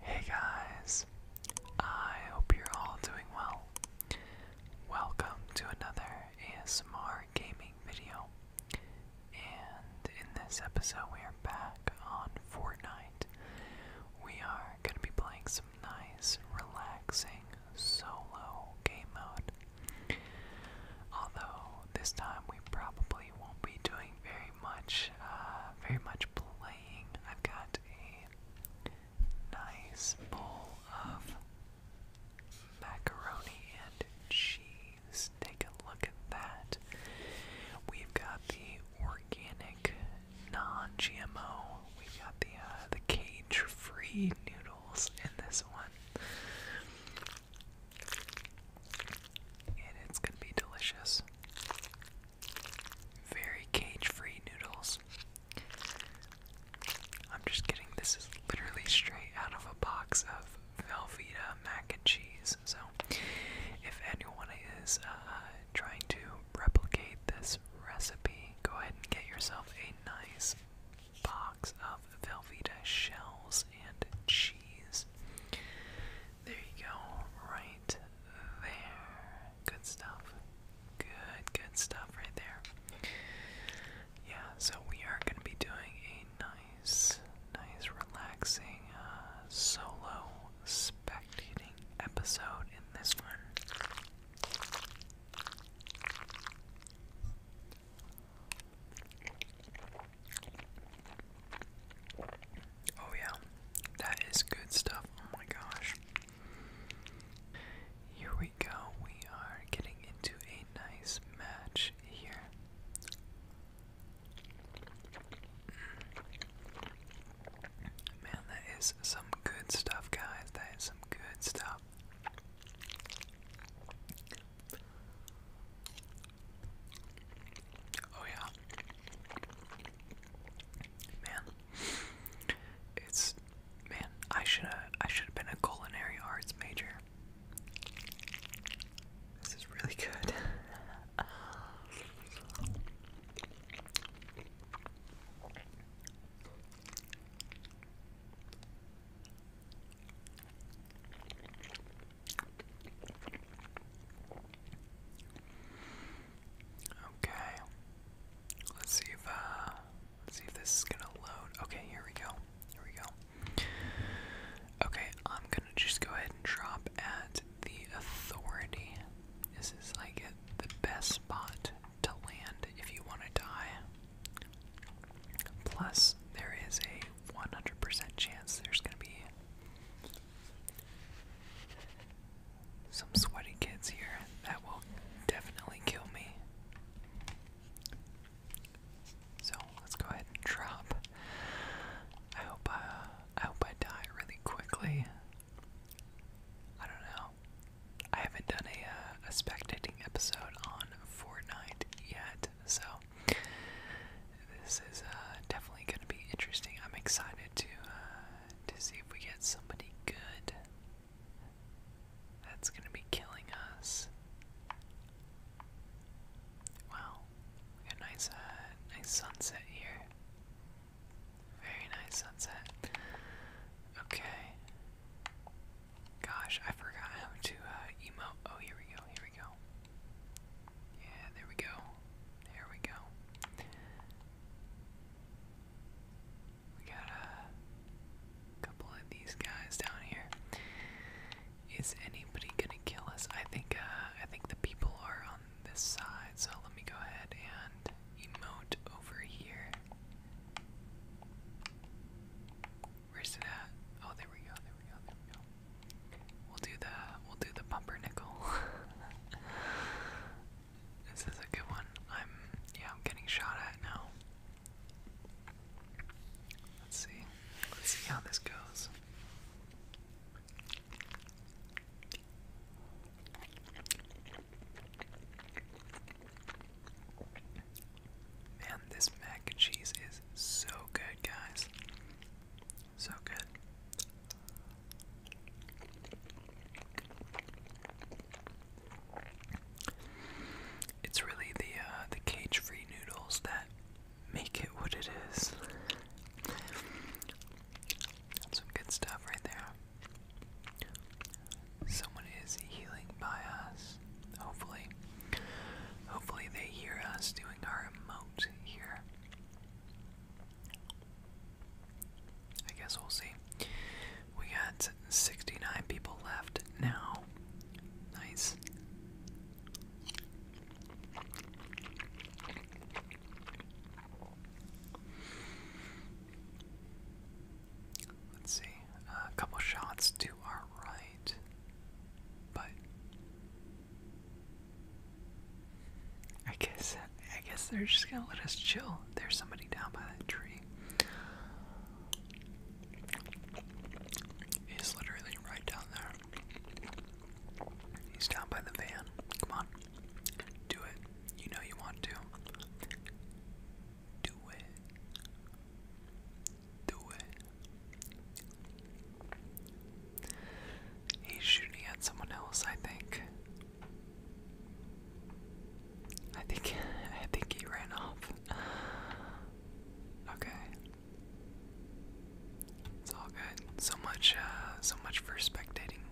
Hey guys, I hope you're all doing well. Welcome to another ASMR gaming video. And in this episode, we are back on Fortnite. We are going to be playing nice, relaxing solo game mode. Although this time we probably won't be doing very much, uh, very much playing. I've got a nice bowl of macaroni and cheese. Take a look at that. We've got the organic, non-GMO we got the uh, the cage-free noodles in this one, and it's gonna be delicious. Very cage-free noodles. I'm just kidding. This is literally straight out of a box of Velveeta mac and cheese. So, if anyone is uh, trying to replicate this recipe, go ahead and get yourself a nice box of Velveeta shells and cheese. There you go, right there. Good stuff. Good, good stuff right there. Yeah, so we are going to be doing a nice, nice, relaxing uh, solo spectating episode in this one. Oh, yeah, that is good stuff. Oh my gosh. Here we go. We are getting into a nice match here. Man, that is some good stuff, guys. That is some good stuff. Oh, yeah. Man. It's man, I should have I should have been a culinary arts major. This is really good. Okay. Let's see if uh see if this is gonna load. Okay, here we go. Here we go. Okay, I'm gonna just go ahead and drop at the authority. This is like the best spot to land if you want to die. Plus, there is a 100% chance there's going to be some sweaty kids here that will definitely kill me. So let's go ahead and drop. I hope I, uh, I hope I die really quickly. I don't know. I haven't done a, uh, a spectating episode on Fortnite yet, so this is uh, definitely going to be interesting. I'm excited to uh, to see if we get somebody good. That's going to be killing us. Wow, we got nice, uh, nice sunset here. Very nice sunset. Okay. Gosh, I forgot how to uh, Oh, here we go, here we go. Yeah, there we go. There we go. We got a couple of these guys down here. Is anybody gonna kill us? I think uh, I think the people are on this side so let me go ahead and emote over here. Where's it at? Oh, there we go, there we go, we will do the we'll do the bumper this is a good one. I'm yeah, I'm getting shot at now. Let's see. Let's see how this goes. Man, this mac and cheese is so good, guys. So good. It's really the uh, the cage-free noodles that make it what it is. some good stuff right there. Someone is healing by us. Hopefully. Hopefully they hear us doing our emote here. I guess we'll see. We got 69 people left now. Nice. Let's see, a couple shots to our right, but I guess I guess they're just gonna let us chill. There's somebody down by that tree. He's literally right down there. He's down by the van. Come on. Do it. You know you want to. Do it. Do it. He's shooting at someone else, I think. I think I think he ran off. Okay. It's all good. So much uh, so much for spectating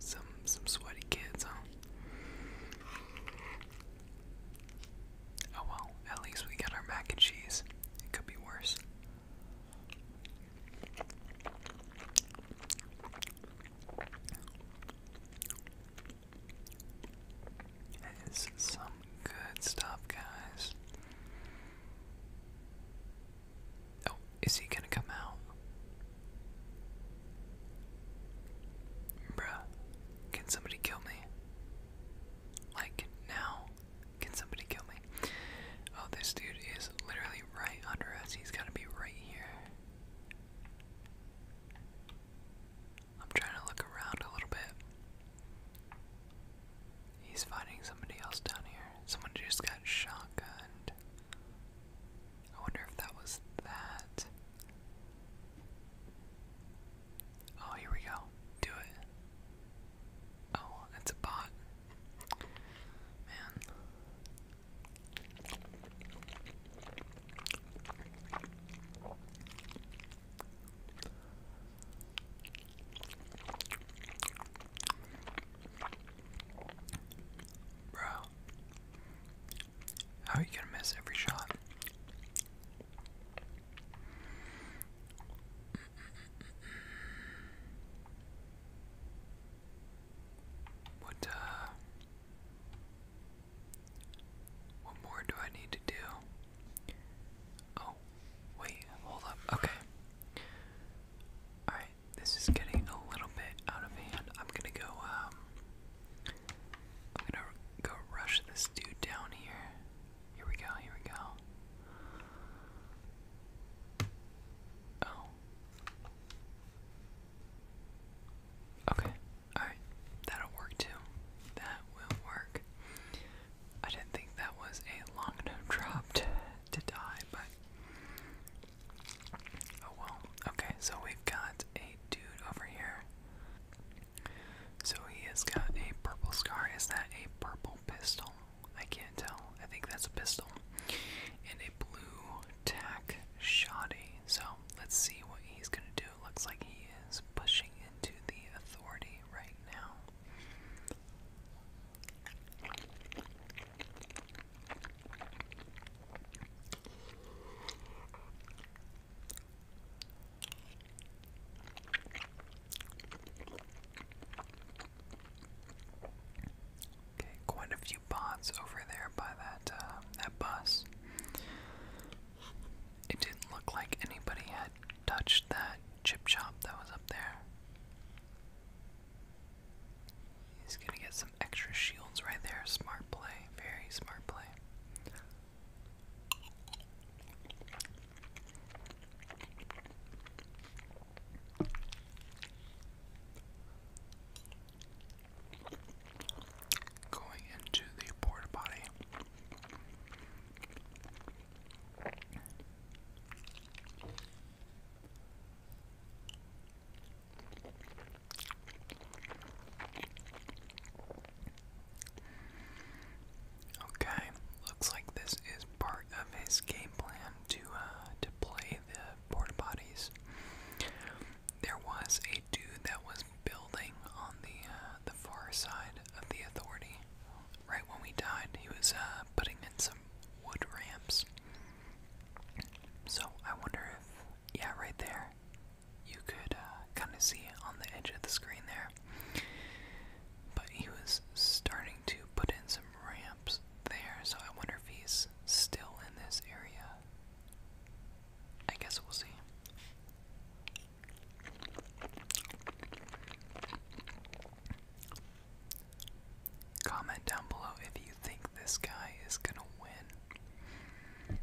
some some sweaty kids, huh? Oh well, at least we got our mac and cheese. It could be worse. That is some good stuff, guys. Oh, is he gonna come out? Bruh, can somebody kill me? Like, now? Can somebody kill me? Oh, this dude is literally right under us. He's going to be right here. I'm trying to look around a little bit. He's finding somebody else down here. Someone just got shotgunned. I wonder if that was that. Oh, here we go. Do it. Oh, that's a bot. Man. Bro. How are you gonna miss every shot? What uh, what more do I need to do? Oh, wait, hold up. Okay. Alright this is getting a little bit out of hand. I'm gonna go, um, I'm gonna go rush this dude down here. Here we go, here we go. Oh. Okay, alright. That'll work too. That will work. I didn't think that was a long enough drop to die, but Oh well. Okay, so we've got a dude over here. So he has got a purple scar. Is that a purple pistol? I can't tell. I think that's a pistol. And a blue tack shoddy. So let's see what he's gonna do. looks like he is pushing into the authority right now. Okay, quite a few bots over there by that um, that bus. It didn't look like anybody had touched that chip shop that was up there. He's gonna get some extra shields right there. Smart play. Very smart play. Going into the porta potty. Okay, looks like this is part of his game plan to uh, to play the porta potties. There was a dude that was building on the uh, the far side of the authority. Right when we died, he was uh, putting in some wood ramps. So I wonder if, yeah, right there, you could uh, kind of see on the edge of the screen there. But he was starting to put in some ramps there, so I wonder if he's still in this area. I guess we'll see. Comment down below if you think this guy is gonna win.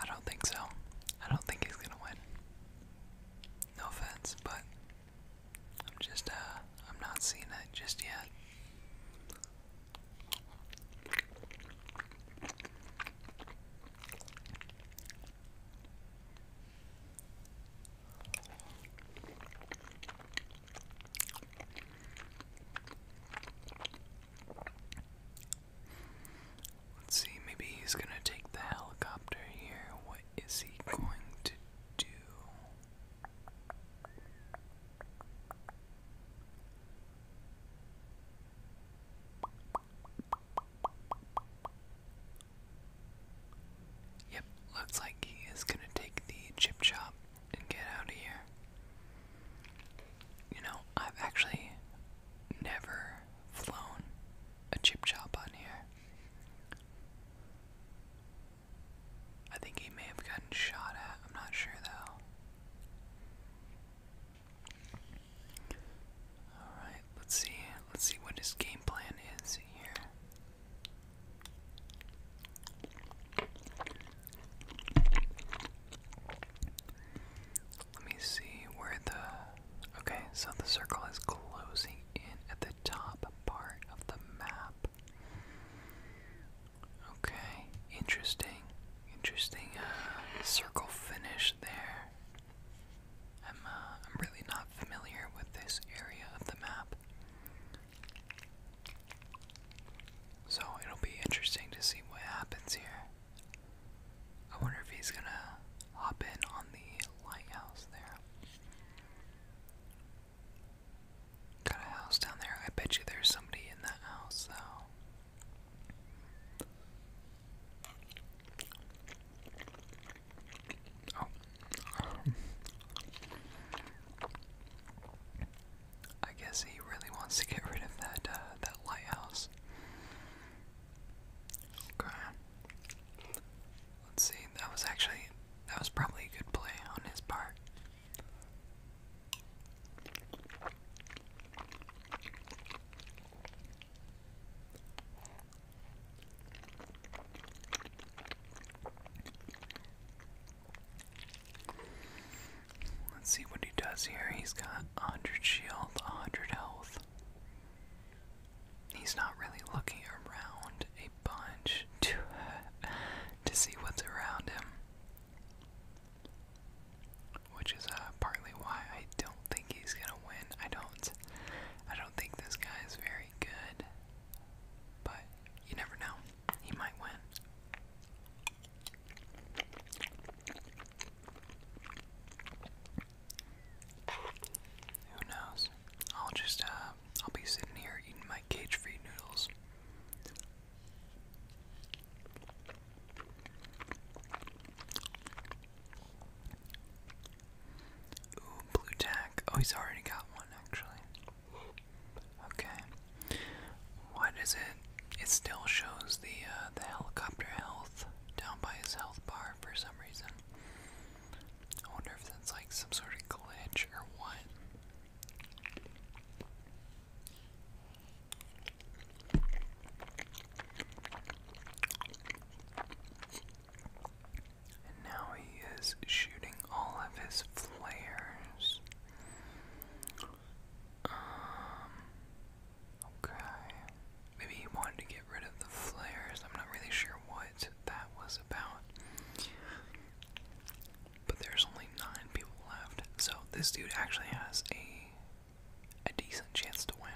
I don't think so. I don't think he's gonna win. No offense, but I'm just uh I'm not seeing it just yet. Let's see, maybe he's gonna take the helicopter here. What is he going to do? Yep, looks like he is gonna take the chip chop and get out of here. You know, I've actually never flown a chip chop on here. I think he may have gotten shot at, I'm not sure though. Alright, let's see. Let's see what his game plan is here. Let me see where the. Okay, so the circle is closing in at the top part of the map. Okay, interesting. Interesting uh, circle finish there. I'm, uh, I'm really not familiar with this area of the map. So it'll be interesting to see what happens here. I wonder if he's gonna hop in on the lighthouse there. Got a house down there. I bet you there's somebody in that house though. I guess he really wants to get rid of that uh, that lighthouse. Okay. Let's see. That was actually that was probably a good play on his part. Let's see what he does here. He's got 100 shield, 100 health. He's not really looking around a bunch to, uh, to see what's around him. Which is uh, partly why I don't think he's gonna win. I don't, I don't think this guy is very good. But you never know. He might win. Who knows? I'll just, uh, I'll be sitting here eating my cage free noodles. Ooh, blue tack. Oh, he's already got one, actually. Okay. What is it? It still shows the uh, the helicopter health down by his health bar for some reason. I wonder if that's like some sort of glitch or what. And now he is shooting all of his flares. Um, okay. Maybe he wanted to get rid of the flares. I'm not really sure what that was about. But there's only nine people left. So this dude actually has a a decent chance to win.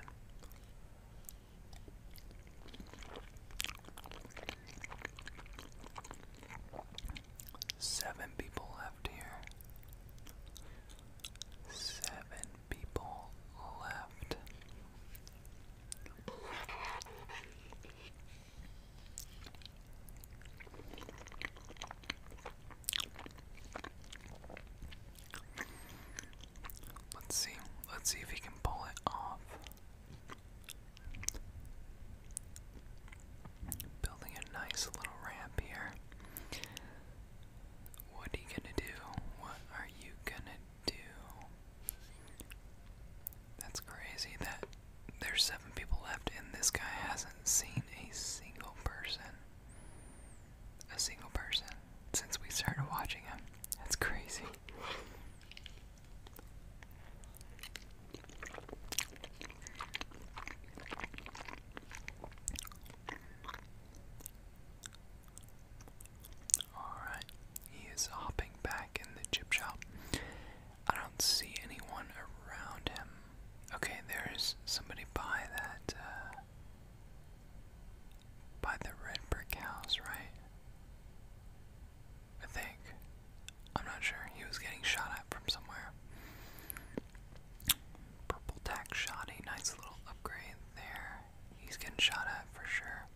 Seven people left here. Seven people left. Let's see. Let's see if he can pull it off. Building a nice little ramp here. What are you gonna do? What are you gonna do? That's crazy that there's seven people left and this guy hasn't seen a single person. A single person since we started watching him. That's crazy. Alright, he is hopping back in the chip shop. I don't see anyone around him. Okay, there's somebody by that, uh, by the red brick house, right? I think. I'm not sure. He was getting shot at from somewhere. Purple tack A Nice little upgrade there. He's getting shot at for sure.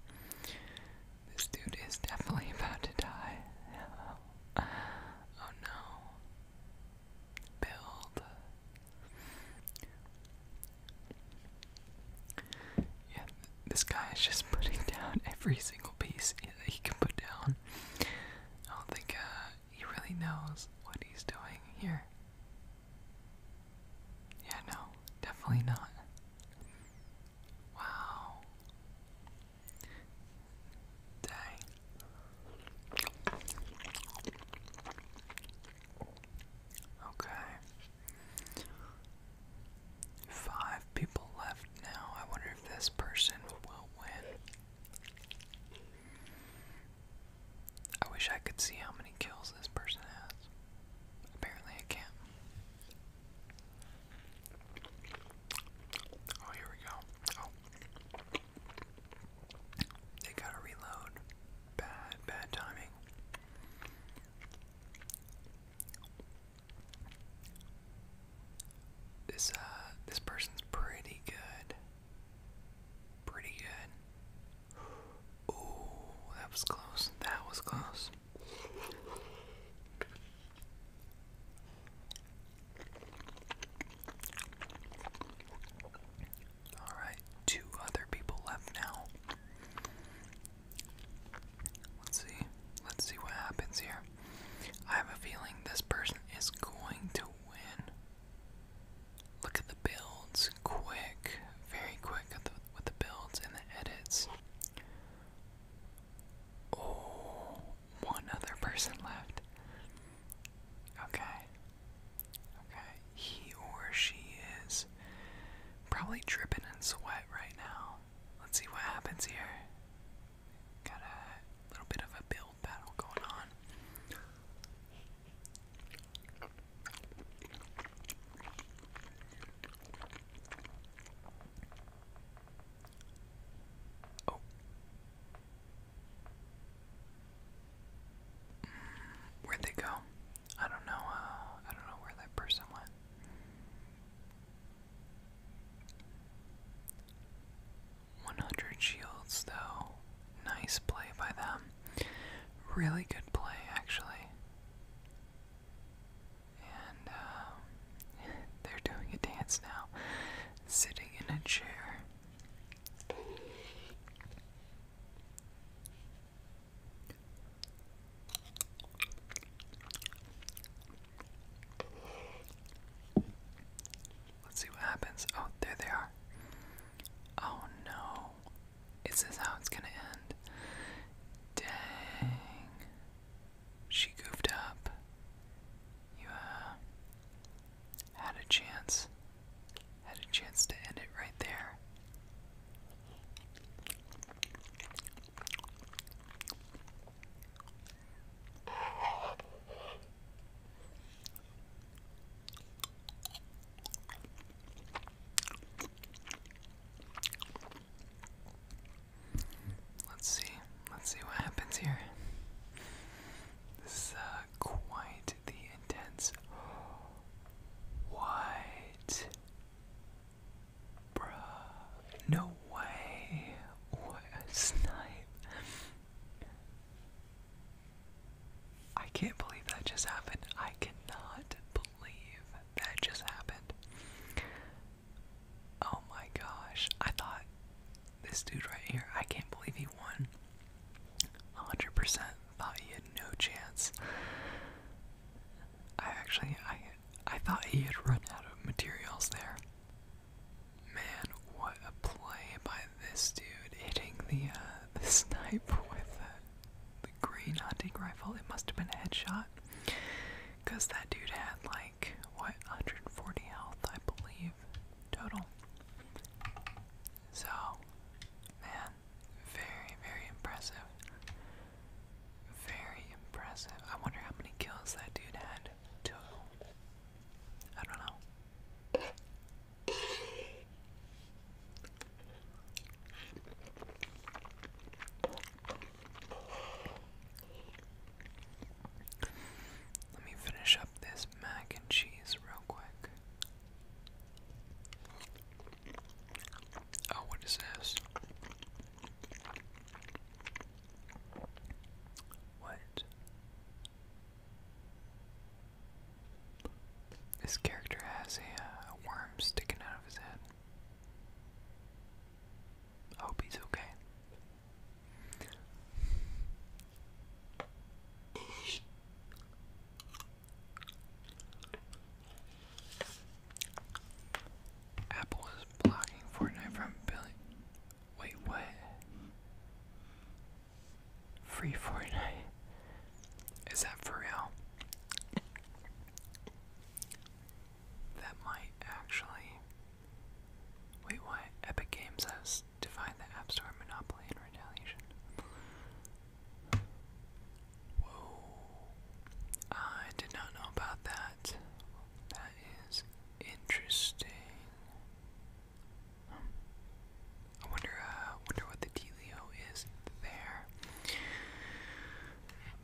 This dude is definitely about to die. oh no. Build. Yeah, this guy is just putting down every single piece that he can put down. I don't think uh, he really knows what he's doing here. Yeah, no, definitely not. Wow. Dang. Okay. Five people left now. I wonder if this person will win. I wish I could see how many kills this person has. Apparently, I can't. Oh, here we go. Oh. They gotta reload. Bad, bad timing. This uh this person's pretty good. Pretty good. Ooh, that was close. That was close. All right, two other people left now. Let's see. Let's see what happens here. I have a feeling this person is going to win. Look at the builds. Quick. Very quick with the builds and the edits. Oh, one other person left. Okay. Okay. He or she is Probably dripping in sweat right now. Let's see what happens here. Got a little bit of a build battle going on. Oh. Mm, where'd they go? I don't know. Uh, I don't know where that person went. One hundred shields, though. Nice play by them. Really good play, actually. And um, they're doing a dance now, sitting in a chair. Let's see what happens. Oh, there they are. Oh no. Is this how it's gonna end? Dang. She goofed up. You uh, had a chance. Had a chance to end it right there. Let's see. Let's see what happens here. This is uh, quite the intense. White Bruh. No way. What a snipe. I can't believe that just happened. I cannot believe that just happened. Oh my gosh. I thought this dude right here, I can't believe he won. 100% thought he had no chance. I actually I I thought he had run out of materials there. Man, what a play by this dude hitting the uh, the snipe with the green hunting rifle. It must have been a headshot, cause that dude had like what 140 health, I believe, total. So, man, very, very impressive. Very impressive. I wonder how many kills that dude had total. I don't know. Let me finish up this mac and cheese real quick. Oh, what is this? What? This character has a, uh, worm sticking out of his head. hope he's okay. Apple is blocking Fortnite from billion. Wait, what? Free Fortnite? Is that for real? That might actually. Wait, what? Epic Games has defined the App Store monopoly in retaliation. Whoa. I did not know about that. That is interesting. Hmm. I wonder, uh, wonder what the dealio is there.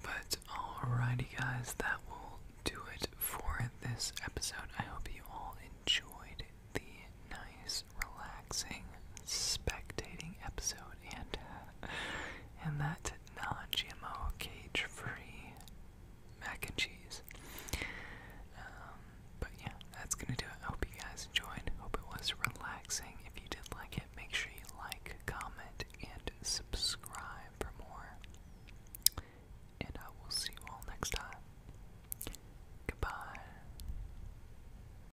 But alrighty, guys, that will do it for this episode. I hope you all enjoyed the nice relaxing spectating episode and uh, and that non-GMO cage-free mac and cheese. Um, but yeah, that's gonna do it. I hope you guys enjoyed. Hope it was relaxing. If you did like it, make sure you like, comment, and subscribe for more. And I will see you all next time. Goodbye.